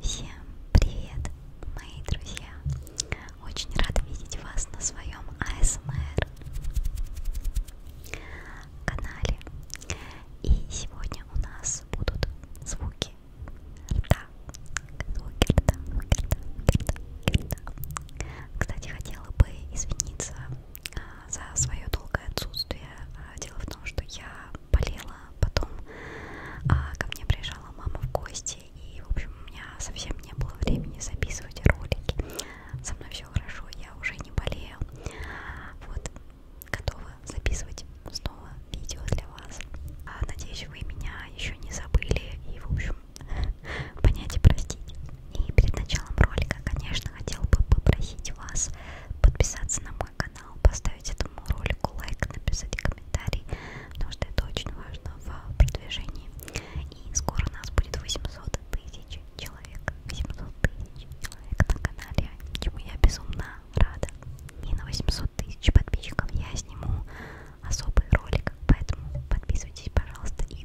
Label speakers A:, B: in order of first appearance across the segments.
A: Всем привет, мои друзья! Очень рада видеть вас на своем АСМР канале. И сегодня у нас будут звуки рта. Звуки рта, звуки рта, звуки рта, звуки рта. Кстати, хотела бы извиниться за свое долгое отсутствие. А, дело в том, что я болела, потом а, ко мне приезжала мама в гости, и, в общем, у меня совсем не было времени записывать ролики. Со мной все хорошо, я уже не болею. Вот, готова записывать снова видео для вас. А, надеюсь, вы меня еще не забыли и, в общем, понять и простить. И перед началом ролика, конечно, хотел бы попросить вас подписаться на мой канал, поставить этому ролику лайк, написать комментарий, потому что это очень важно в продвижении. И скоро у нас будет 800 тысяч человек, 800 тысяч человек на канале, чему я безумно рада. И на 800 тысяч подписчиков я сниму особый ролик, поэтому подписывайтесь, пожалуйста, и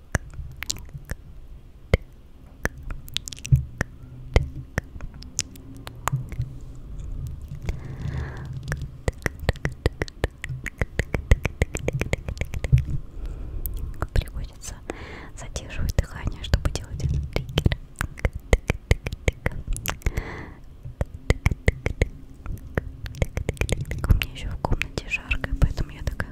A: Приходится задерживать дыхание, чтобы делать этот триггер. У меня еще в комнате жарко, поэтому я такая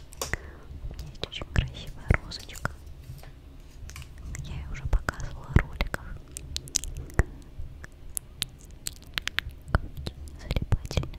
A: У меня есть очень красивая розочка. Я ее уже показывала в роликах. Залипательная.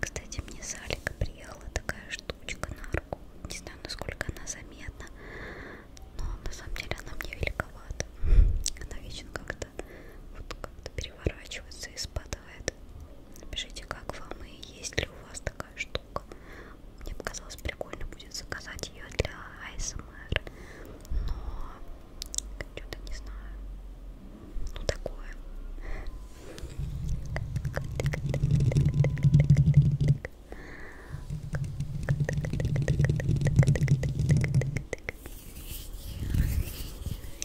A: Кстати, мне с Алика приехала такая штучка на руку. Не знаю, насколько она заметна, но на самом деле она мне великовата. Она вечно как-то вот как-то переворачивается из-под захватывает. Напишите, как вам и есть ли у вас такая штука. Мне показалось прикольно будет заказать ее для ASMR, но что-то не знаю. Ну такое.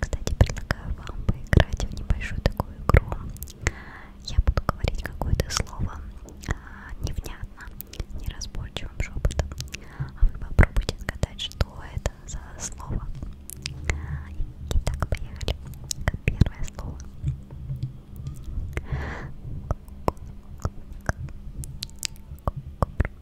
A: Кстати, предлагаю вам поиграть в небольшую такую игру. Я буду говорить какое-то слово а, невнятно, неразборчивым шепотом. А вы попробуйте сказать, что это за слово. Итак, поехали. Первое слово. Кобра. Кобра.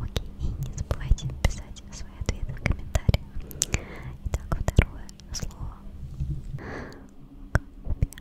A: Окей, и не забывайте писать свои ответы в комментариях. Итак, второе слово. Копия.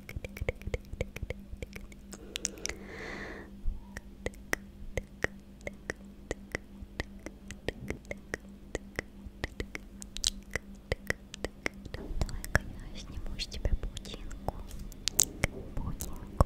A: Давай-ка я сниму с тебя паутинку. Паутинку, паутинку, паутинку. Паутинку.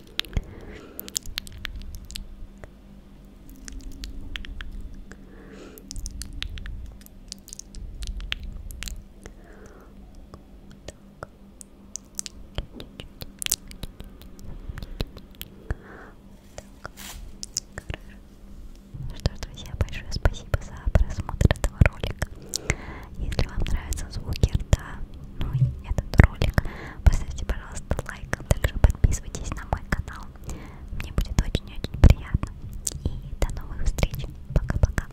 A: Ну что ж, друзья, большое спасибо за просмотр этого ролика. Если вам нравятся звуки рта, ну и этот ролик. Поставьте, пожалуйста, лайк, а также подписывайтесь на мой канал. Мне будет очень-очень приятно. И до новых встреч. Пока-пока.